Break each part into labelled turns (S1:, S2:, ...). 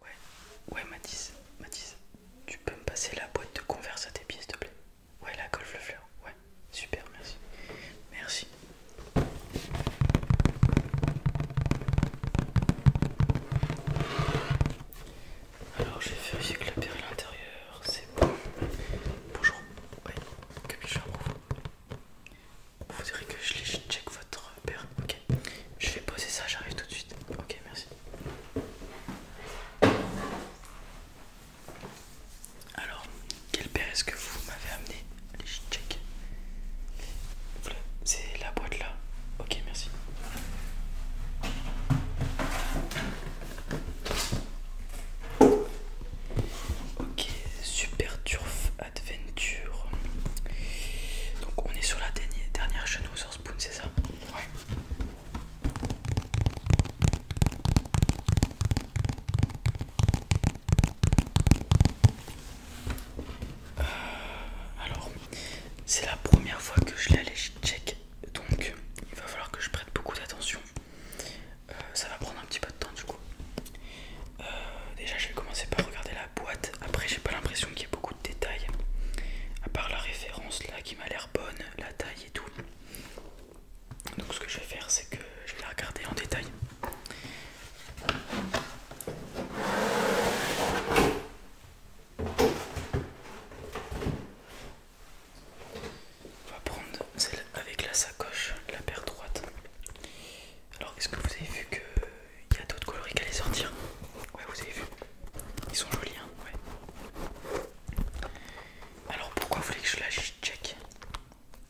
S1: Ouais, ouais Mathis, Mathis, tu peux me passer la boîte de converse à tes pieds s'il te plaît Ouais la golf le fleur, ouais, super merci. Merci. Alors j'ai vérifié que la à l'intérieur, c'est bon. Bonjour, ouais, faire pour Vous direz que je les check votre Ok, je vais poser ça, j'arrive tout de suite. Ok, merci. Alors, quelle paire est-ce que vous m'avez amené Allez, je check. C'est la boîte là. Ok, merci. Ok, super turf Adventure. Donc on est sur la dernière chaîne Source Spoon, c'est ça Ouais. Euh, alors, c'est la première fois que je allé check, donc il va falloir que je prête beaucoup d'attention. Euh, ça va prendre un petit peu de temps du coup. Euh, déjà, je vais commencer par regarder la boîte. Après, j'ai pas l'impression qu'il y ait beaucoup de détails, à part la référence là qui m'a l'air bonne, la taille et tout. Donc, ce que je vais faire, c'est que je vais la regarder en détail. On va prendre celle avec la sacoche, la paire droite. Alors, est-ce que vous avez vu que il y a d'autres coloris qui allaient sortir. Ouais, vous avez vu, ils sont jolis. Hein ouais. Alors pourquoi vous voulez que je la check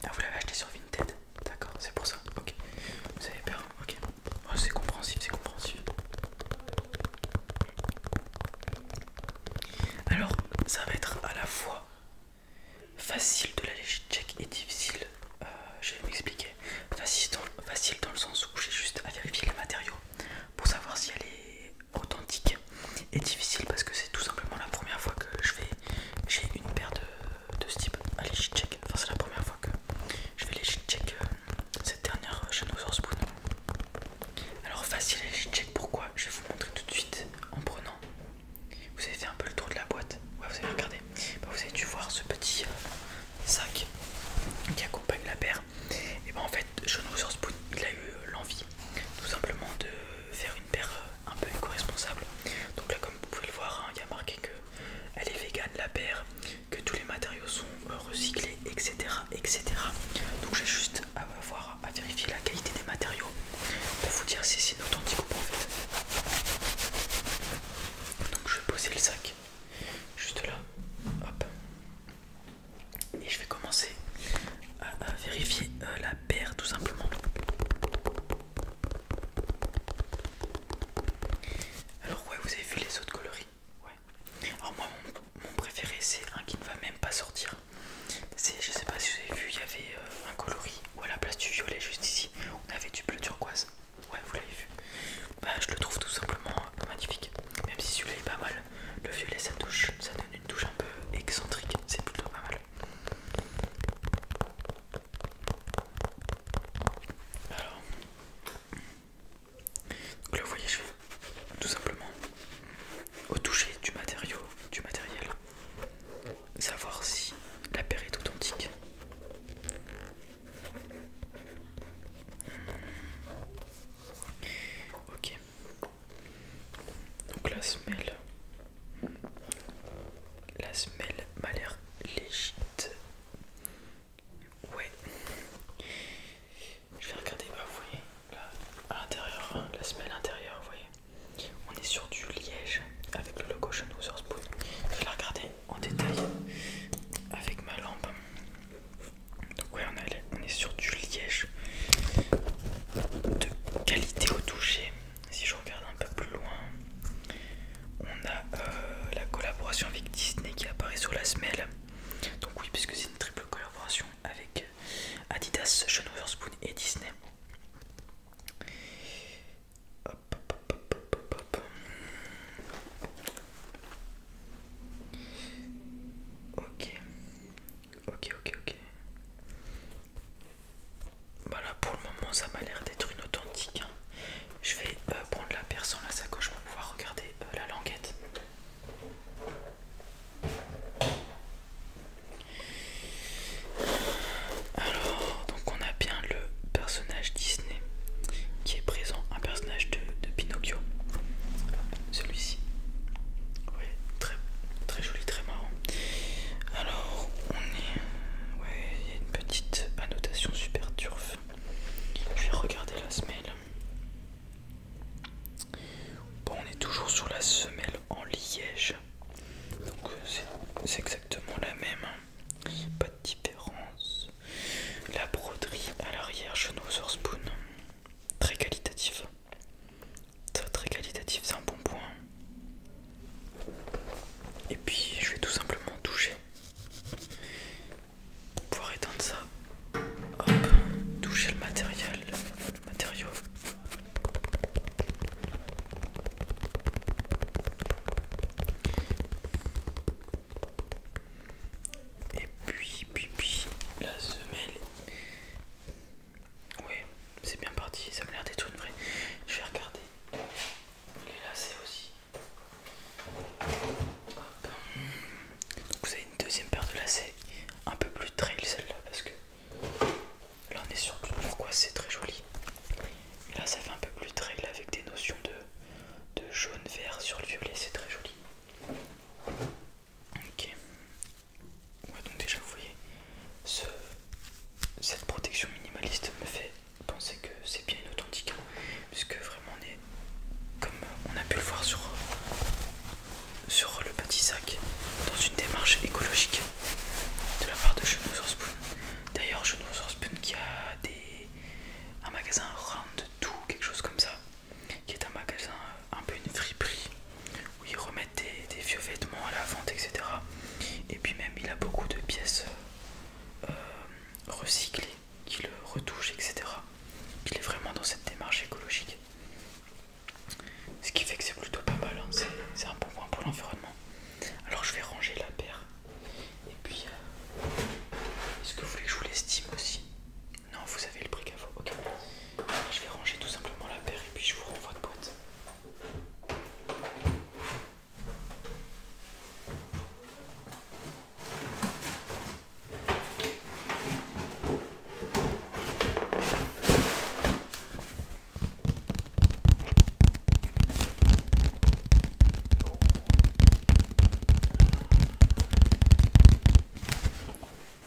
S1: ah, Vous l'avez acheté sur Vinted D'accord, c'est pour ça. Ok, vous avez peur hein. Ok, oh, c'est compréhensible, c'est compréhensible. Alors, ça va être à la fois Facile de la legit check et difficile, euh, je vais m'expliquer. Facile, dans le sens où j'ai juste à vérifier le matériau pour savoir si elle est authentique. Et difficile parce que c'est tout simplement la première fois que je vais j'ai une paire de, de ce type à légit check. Enfin c'est la première fois que je vais légit check euh, cette dernière euh, chez Spoon. Alors facile à check pourquoi Je vais vous montrer tout de suite en prenant vous avez fait un peu le tour de la boîte. vous avez regardé. Bah, vous avez dû voir ce petit euh, sac qui accompagne la paire. Et ben en fait, John Witherspoon, il a eu euh, l'envie tout simplement de faire une paire euh, un peu éco-responsable. Donc là, comme vous pouvez le voir, hein, il y a marqué que elle est végane la paire, que tous les matériaux sont recyclés, etc., etc. Donc j'ai juste à voir, à vérifier la qualité des matériaux pour vous dire si c'est une authentique ou en fait. Donc je vais poser le sac juste là, hop, et je vais commencer à, vérifier euh, la paire tout simplement. Alors ouais, vous avez vu les autres coloris Ouais. Alors moi, mon, préféré, c'est un qui ne va même pas sortir. C'est Je sais pas si vous avez vu, il y avait euh, un coloris ou à la place du violet juste ici on avait du bleu turquoise ouais vous l'avez vu bah je le trouve tout simplement euh, magnifique même si celui-là est pas mal le violet ça touche ça donne une touche un peu excentrique c'est plutôt pas mal alors donc là, voyez, je vais tout simplement au toucher du matériau, du matériel, savoir si la paire est authentique. Ok. Donc la semelle, la semelle m'a l'air légite. Ouais. Je vais regarder, bah vous voyez, l'intérieur, hein, la semelle intérieure, vous voyez. On est sur du liège avec le logo sur Witherspoon. Je vais la regarder en détail avec ma lampe. Donc ouais, on est sur du liège de qualité au toucher. Si je regarde un peu plus loin, on a euh, la collaboration avec Disney qui apparaît sur la semelle. Donc oui, puisque c'est une triple collaboration avec Adidas, Sean Spoon et Disney. Ok, ok, ok, ok. Voilà, pour le moment, ça m'a l'air d'être une authentique. Hein. Je vais euh, prendre la personne à la sacoche pour pouvoir regarder euh, la languette. Alors, donc on a bien le personnage Disney qui est présent, un personnage de, Pinocchio. Celui-ci. Oui, très, très joli, très marrant. Alors, on est... Ouais, il y a une petite annotation super turf. Je vais regarder la semelle. Bon, on est toujours sur la semelle en liège. Donc euh, c'est exactement la même. Hein. Pas de différence. La broderie à l'arrière sur Spoon. Très qualitatif, Très très qualitatif, c'est un bon point. Et puis je vais tout simplement toucher. Pour pouvoir éteindre ça. Hop, toucher le matériel, le matériau. Et puis, puis, puis, la semelle. Oui, c'est bien parti, ça me l'air d'être une Je vais regarder les lacets aussi. Hop. Donc vous avez une deuxième paire de lacets un peu plus trail celle-là parce que là on est sur pourquoi c'est très joli. là ça fait un peu plus trail avec des notions de, jaune vert sur le violet, c'est très joli. Ok. donc déjà vous voyez, ce, cette protection minimaliste me fait penser que c'est bien inauthentique, hein, puisque vraiment comme on a pu le voir sur, sur le petit sac, dans une démarche écologique de la part de Chenou Spoon. D'ailleurs, Chenou Horspoon qui a des, un magasin round tout, quelque chose comme ça, qui est un magasin euh, un peu une friperie où ils remettent des, vieux vêtements à la vente, etc. Et puis même, il a beaucoup de pièces euh, recyclées qui le retouche, etc. Il est vraiment dans cette démarche écologique. Ce qui fait que c'est plutôt pas mal, hein. c'est un bon point pour l'environnement. Alors je vais ranger la paire. Et puis, euh, est-ce que vous voulez que je vous l'estime aussi Non, vous avez le prix à Ok. je vais ranger tout simplement la paire et puis je vous renvoie de boîte.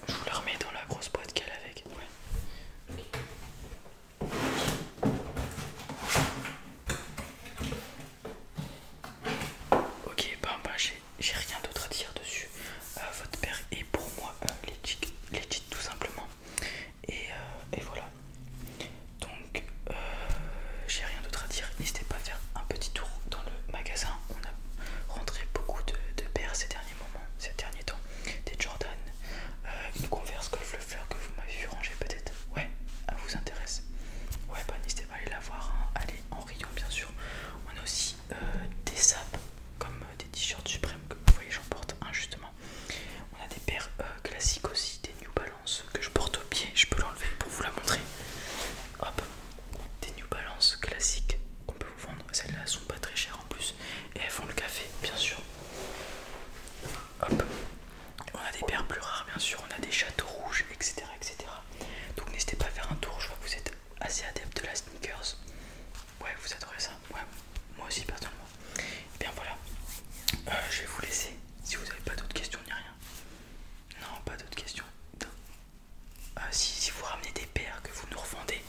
S1: Je vous la remets dans la grosse boîte qu'elle a avec. Ok, ben bah, j'ai rien d'autre à dire dessus. Euh, votre père est pour moi les euh, legit, tout simplement. Et, euh, voilà. Donc, j'ai rien d'autre à dire. N'hésitez pas à faire un petit tour dans le magasin. On a rentré beaucoup de, de paires ces derniers moments, ces derniers temps. Des Jordan, une converse golf le fleur que vous m'avez vu ranger peut-être. Ouais, elle vous intéresse. Ouais, bah n'hésitez pas à aller la voir. Hein en rayon bien sûr. On a aussi euh, des sapes comme euh, des t-shirts suprêmes que vous voyez j'en porte un justement. On a des paires euh, classiques aussi, des New Balance que je porte au pied, je peux l'enlever pour vous la montrer. Hop, des New Balance classiques qu'on peut vous vendre, celles-là sont pas très chères en plus et elles font le café bien sûr. Hop, on a des paires plus rares, bien sûr, on a des châteaux rouges, etc. etc. Donc n'hésitez pas à faire un tour, je vois que vous êtes assez adepte de la sneakers. Ouais, vous adorez ça, ouais, moi aussi personnellement. Et eh bien voilà, euh, je vais vous laisser si vous n'avez pas d'autres questions ni rien. Non, pas d'autres questions. Euh, si, vous ramenez des paires que vous nous revendez,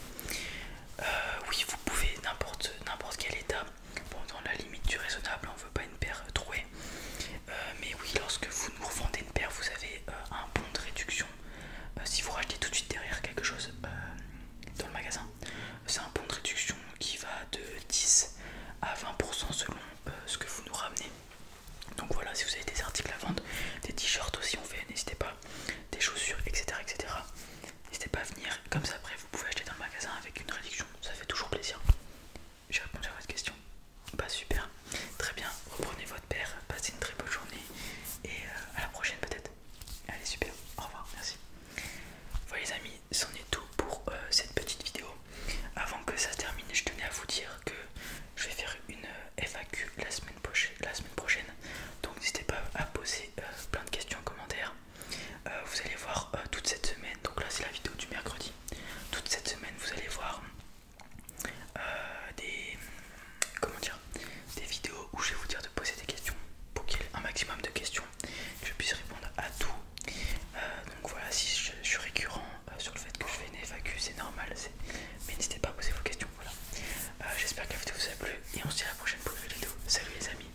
S1: euh, oui, vous pouvez n'importe quel état, bon, dans la limite du raisonnable, on veut pas une paire trouée. Euh, mais oui, lorsque vous nous revendez une paire, vous avez euh, un bon de réduction. Euh, si vous rachetez tout de suite derrière quelque chose dans le magasin, c'est un bon de réduction qui va de 10 à 20% selon ce que vous nous ramenez. Donc voilà, si vous avez des articles à vendre, des t-shirts aussi, on fait, n'hésitez pas, des chaussures, etc. etc. N'hésitez pas à venir, comme ça après vous pouvez acheter dans le magasin avec une réduction, ça fait toujours plaisir. J'ai répondu à votre question. Bah super, très bien. Reprenez votre père, passez une très bonne journée et euh, à la prochaine peut-être. Allez super, au revoir, merci. Voilà les amis, c'en est tout pour euh, cette petite vidéo. Avant que ça se termine, je tenais à vous dire que je vais faire une euh, FAQ la semaine prochaine. Donc n'hésitez pas à poser plein de questions en commentaire. Euh, vous allez voir euh, toute cette semaine, donc là c'est la vidéo du mercredi, toute cette semaine vous allez voir euh, des comment dire des vidéos où je vais vous dire de poser des questions pour qu'il y ait un maximum de questions, je puisse répondre à tout. donc voilà, si je, suis récurrent sur le fait que je fais une FAQ, c'est normal, mais n'hésitez pas à poser vos questions. J'espère que la vidéo vous a plu et on se dit à la prochaine pour une vidéo. Salut les amis